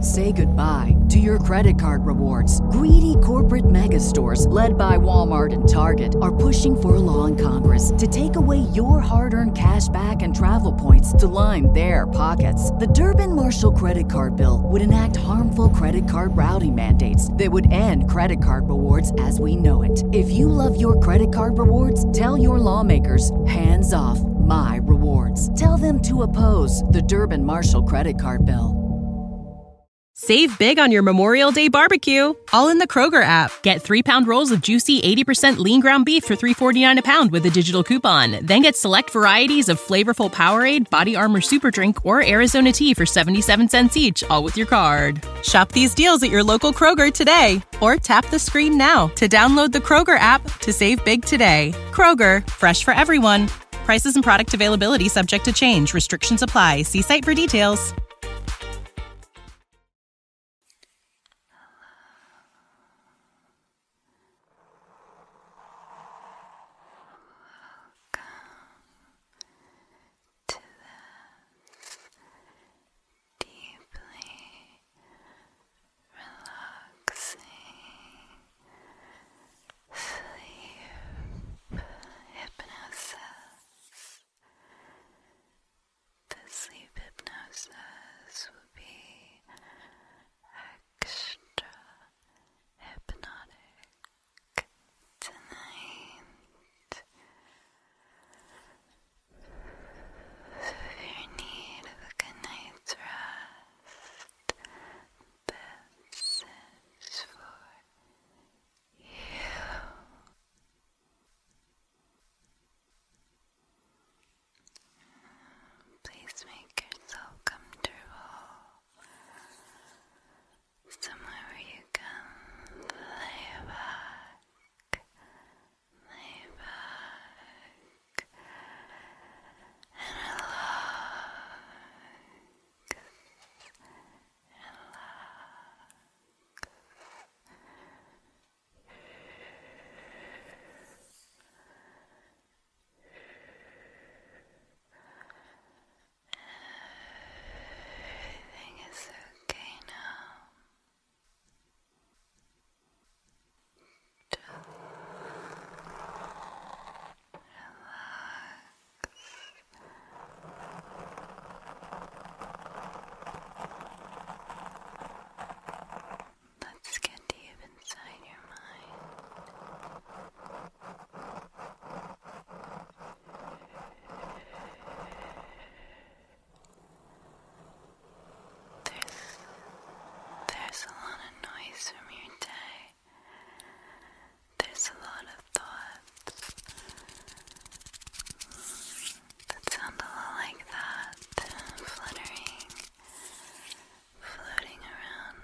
Say goodbye to your credit card rewards. Greedy corporate mega stores, led by Walmart and Target, are pushing for a law in Congress to take away your hard earned cash back and travel points to line their pockets. The Durbin Marshall credit card bill would enact harmful credit card routing mandates that would end credit card rewards as we know it. If you love your credit card rewards, tell your lawmakers hands off my rewards. Tell them to oppose the Durban Marshall credit card bill. Save big on your Memorial Day barbecue, all in the Kroger app. Get three pound rolls of juicy 80% lean ground beef for 3.49 a pound with a digital coupon. Then get select varieties of flavorful Powerade, Body Armor Super Drink, or Arizona tea for 77 cents each, all with your card. Shop these deals at your local Kroger today, or tap the screen now to download the Kroger app to save big today. Kroger, fresh for everyone. Prices and product availability subject to change. Restrictions apply. See site for details. Welcome to the deeply relaxing sleep hypnosis. The sleep hypnosis will be extra hypnotic tonight. So if you need a good night's rest, this is for you. Please make yourself comfortable somewhere where you can lay back, lay back, and relax, relax. Everything is okay now. Let's get deep inside your mind. There's there's a lot of noise from your day. There's a lot of thoughts that sound a lot like that, fluttering, floating around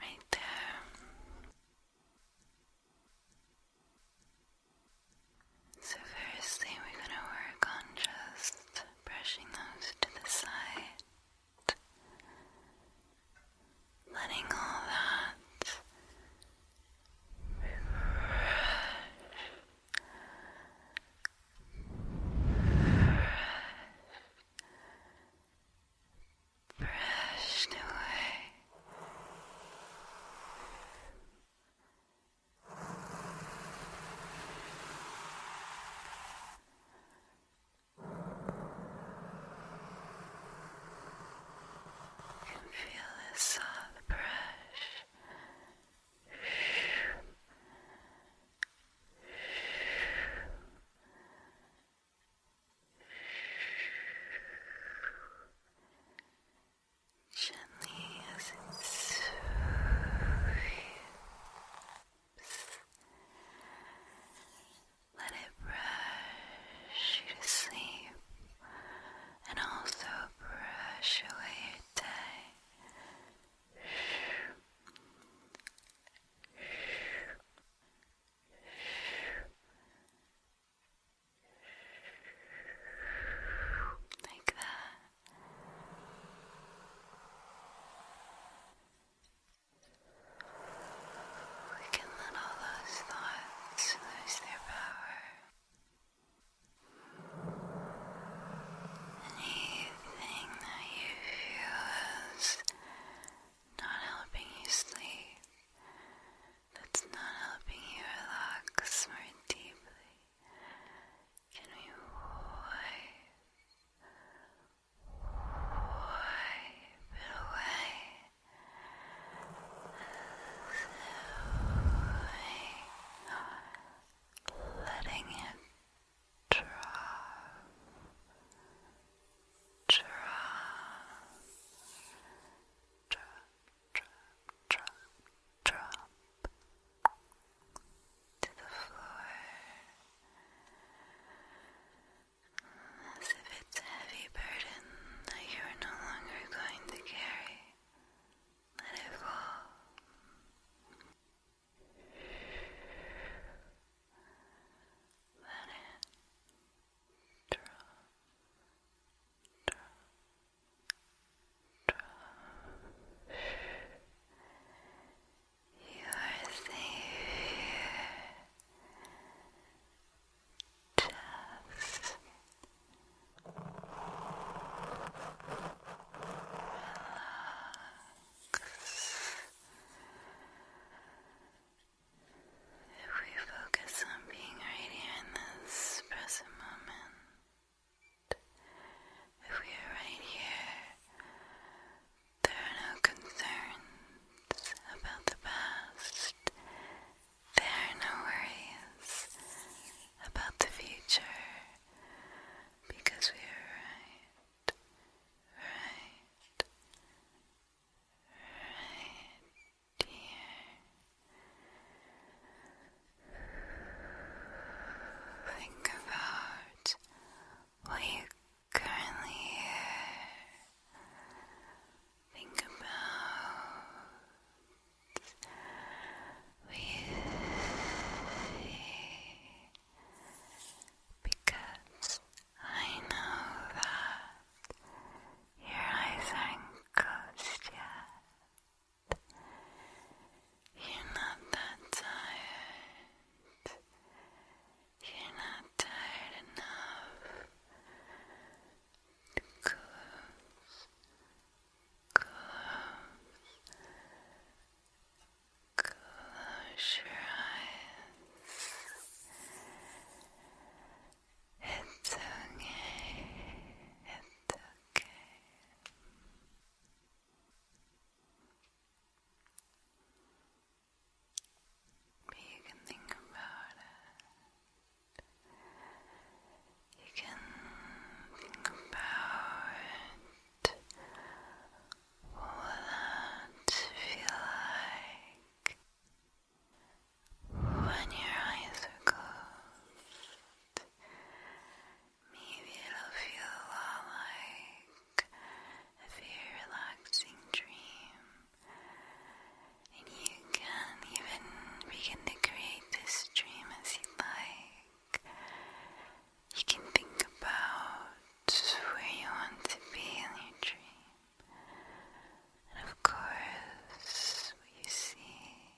right there. So firstly we're going to work on just brushing those to the side. Letting all that brush, brushed away. And feel this soft brush. Brushing gently as it soothes let it brush you to sleep and also brush away your day like that we can let all those thoughts lose their power. Anything that you feel is not helping you sleep, that's not helping you relax more deeply, can we wipe, wipe it away? letting it drop, drop, drop, drop, drop, drop to the floor as if it's a heavy burden that you are no longer going to carry. Let it fall. Let it drop, drop, you are safe Just relax. If we focus on being right here in this present moment, if we are right here, there are no concerns about the past. There are no worries about the future because we are right, right, right here. Think about what you currently hear. Think about what you see. Because I know that your eyes aren't closed yet. You're not that tired. You're not tired enough close, close, close your eyes. It's okay. It's okay. But you can think about it. You can think about what that feel like. When your eyes are closed, maybe it'll feel a lot like a very relaxing dream. And you can even begin to create this dream as you like. You can think about where you want to be in your dream. And of course, what you see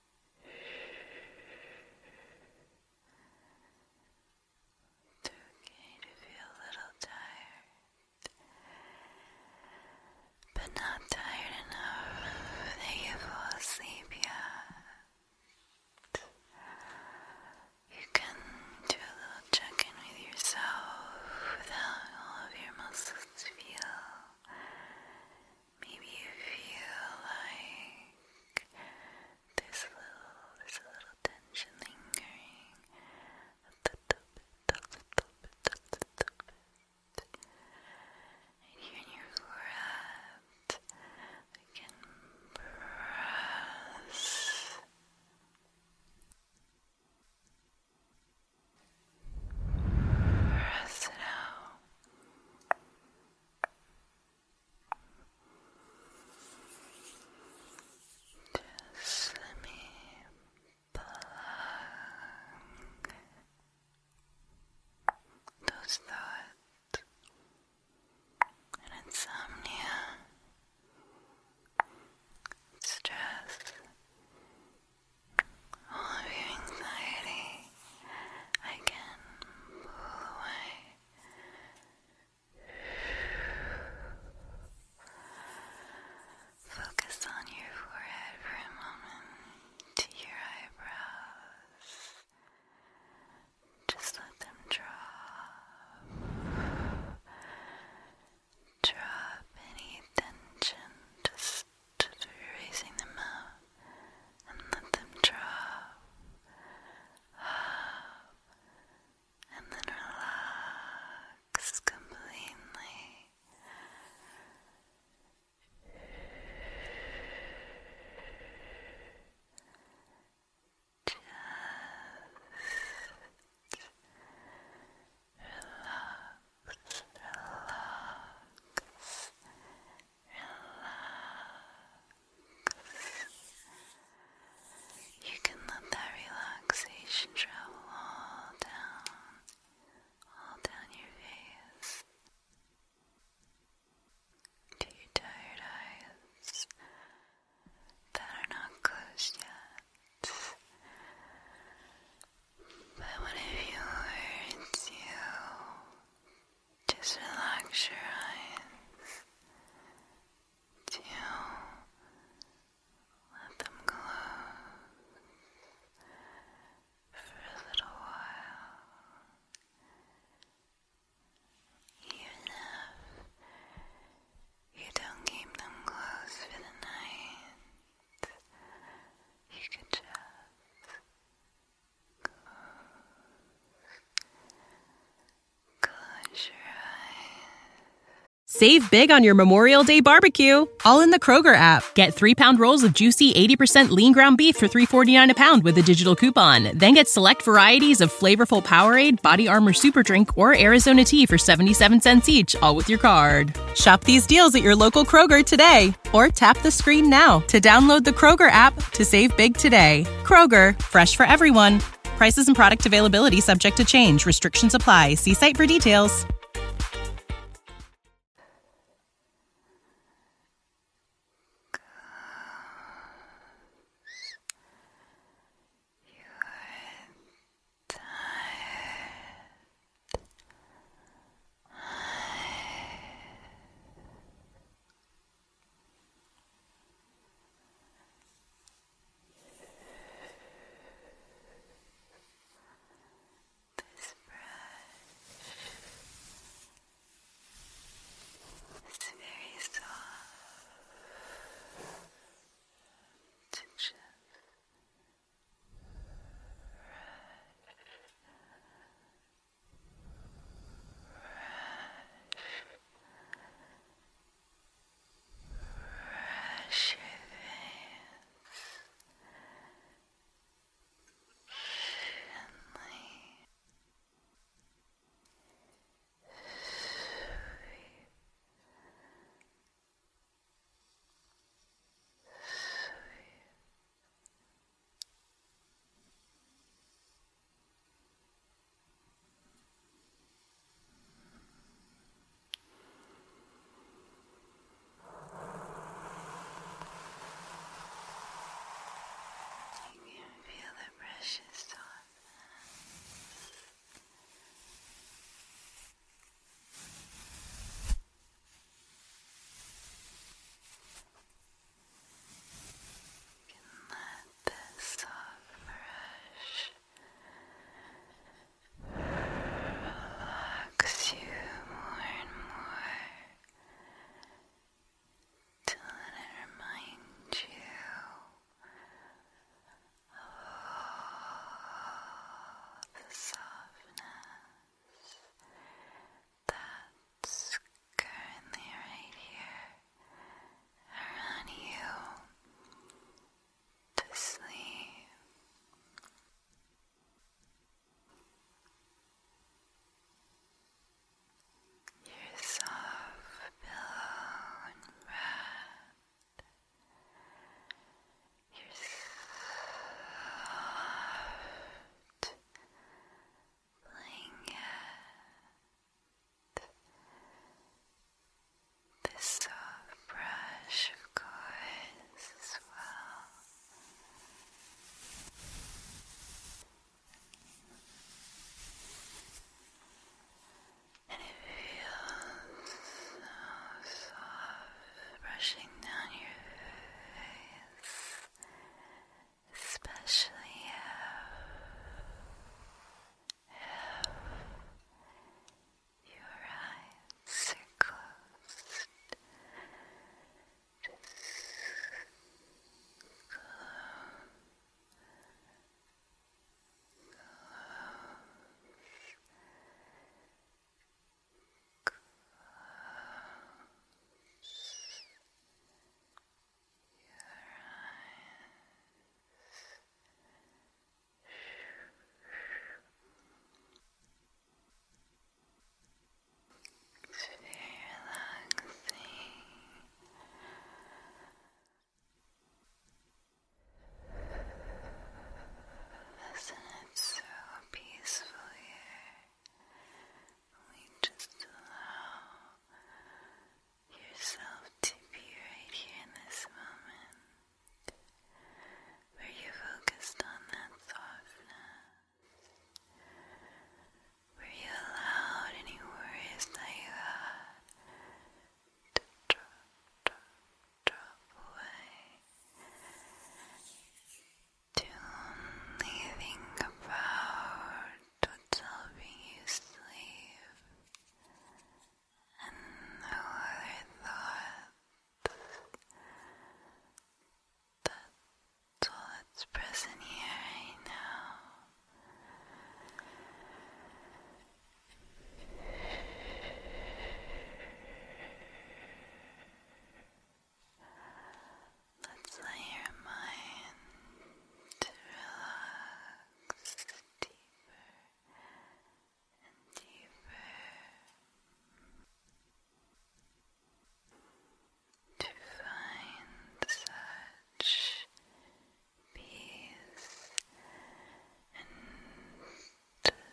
It's okay to feel a little tired, but not tired enough that you fall asleep yet. You can do a little check in with yourself without all of your muscles feel Maybe you feel like there's a little, there's a little tension lingering and here in your breath, we can press. Press it Just let me plug those thoughts insomnia, stress, all of your anxiety I can pull away. Focus on your forehead for a moment to your eyebrows. Just let them drop. Drop any tension, just through raising them up and let them drop and then relax completely. Just relax, relax, relax. You can let that relaxation travel all down, all down your face. To your tired eyes that are not closed yet, but what if you hurts you? Just relax your eyes. Do let them close for a little while. Even if you don't keep them closed for the night, Save big on your Memorial Day barbecue, all in the Kroger app. Get three pound rolls of juicy 80% lean ground beef for 3.49 a pound with a digital coupon. Then get select varieties of flavorful Powerade, Body Armor Super Drink, or Arizona tea for 77 cents each, all with your card. Shop these deals at your local Kroger today or tap the screen now to download the Kroger app to save big today. Kroger, fresh for everyone. Prices and product availability subject to change. Restrictions apply. See site for details tired. This brush is very soft to just Rush your veins gently sweep you can feel the precious darkness you let this soft, fresh relax you more and more till it reminds you of the softness that's currently right here around you to sleep. Your soft pillow breath you're soft blanket. This soft brush, of course, as well and it feels so soft brushing down your face, especially if, if your eyes are closed. Close your eyes. It's very relaxing. Isn't it so peaceful here? We just allow yourself to be right here in this moment where you focused on that softness, where you allowed any worries that you had drop, drop, drop away to only think about what's helping you sleep and other thoughts. That's all that's present here right now. Let's let your mind relax deeper and deeper to find such peace and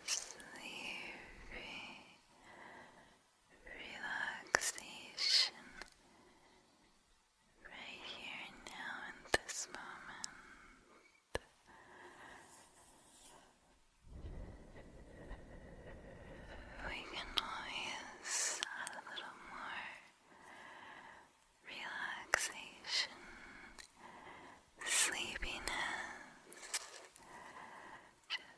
sleepy relaxation right here now in this moment. We can always add a little more relaxation, sleepiness. Just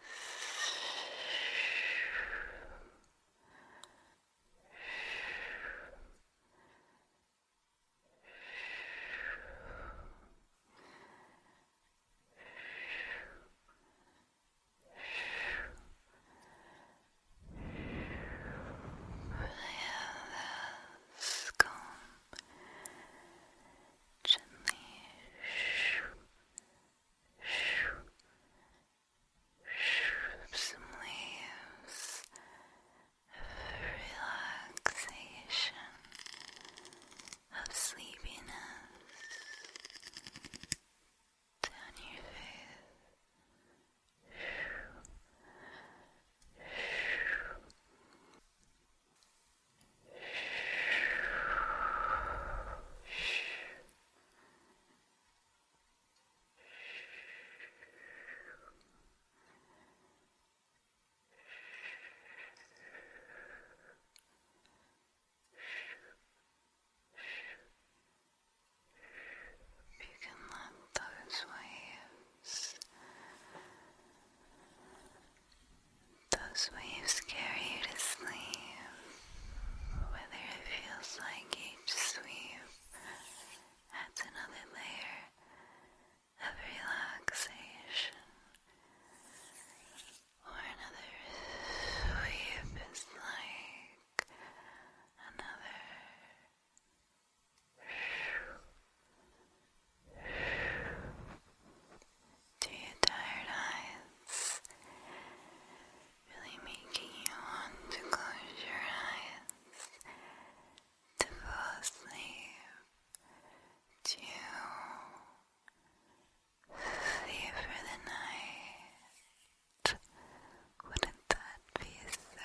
I have those cones Gently shroop some leaves of relaxation, of sleepiness down your face. If you can let those waves those waves carry you to sleep, whether it feels like each sweep adds another layer of relaxation, or another sweep is like another to your tired eyes, really making you want to close your eyes to fall asleep, to sleep for the night. Wouldn't that be so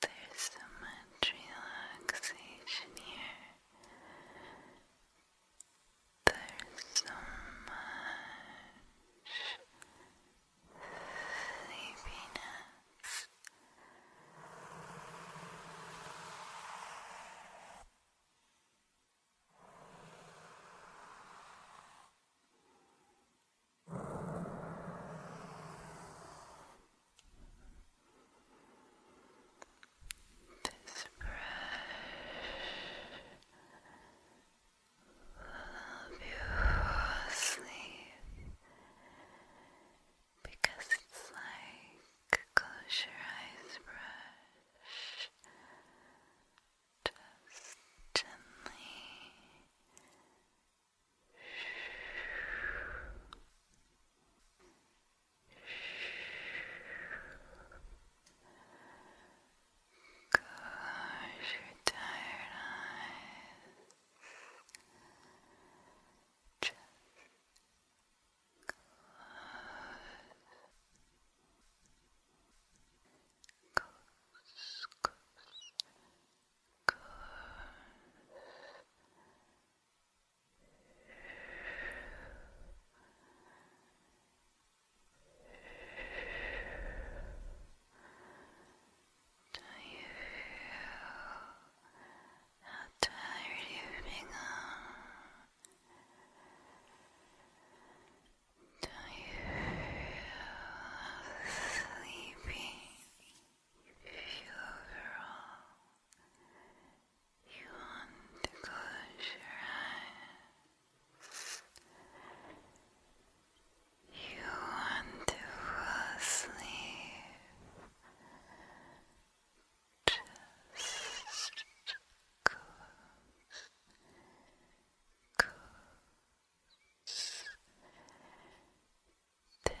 There's so much relaxation here. There's so much sleepiness. This brush will help you sleep because it's like a close your brush just gently Close your tired eyes. Just close. Goose, Do you feel how tired you become? Do you feel sleepy? You feel overall. You want to close your eyes. You want to fall asleep. Just close focus then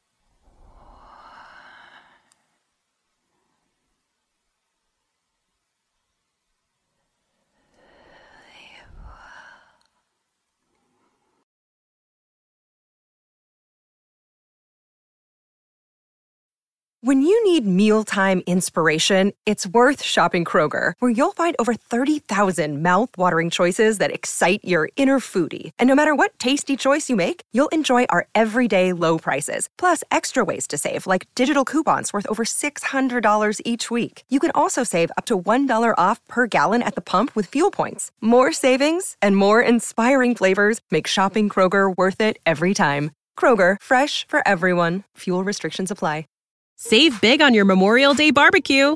when you need mealtime inspiration, it's worth shopping Kroger, where you'll find over 30,000 mouthwatering choices that excite your inner foodie. And no matter what tasty choice you make, you'll enjoy our everyday low prices, plus extra ways to save, like digital coupons worth over $600 each week. You can also save up to $1 off per gallon at the pump with fuel points. More savings and more inspiring flavors make shopping Kroger worth it every time. Kroger, fresh for everyone. Fuel restrictions apply. Save big on your Memorial Day barbecue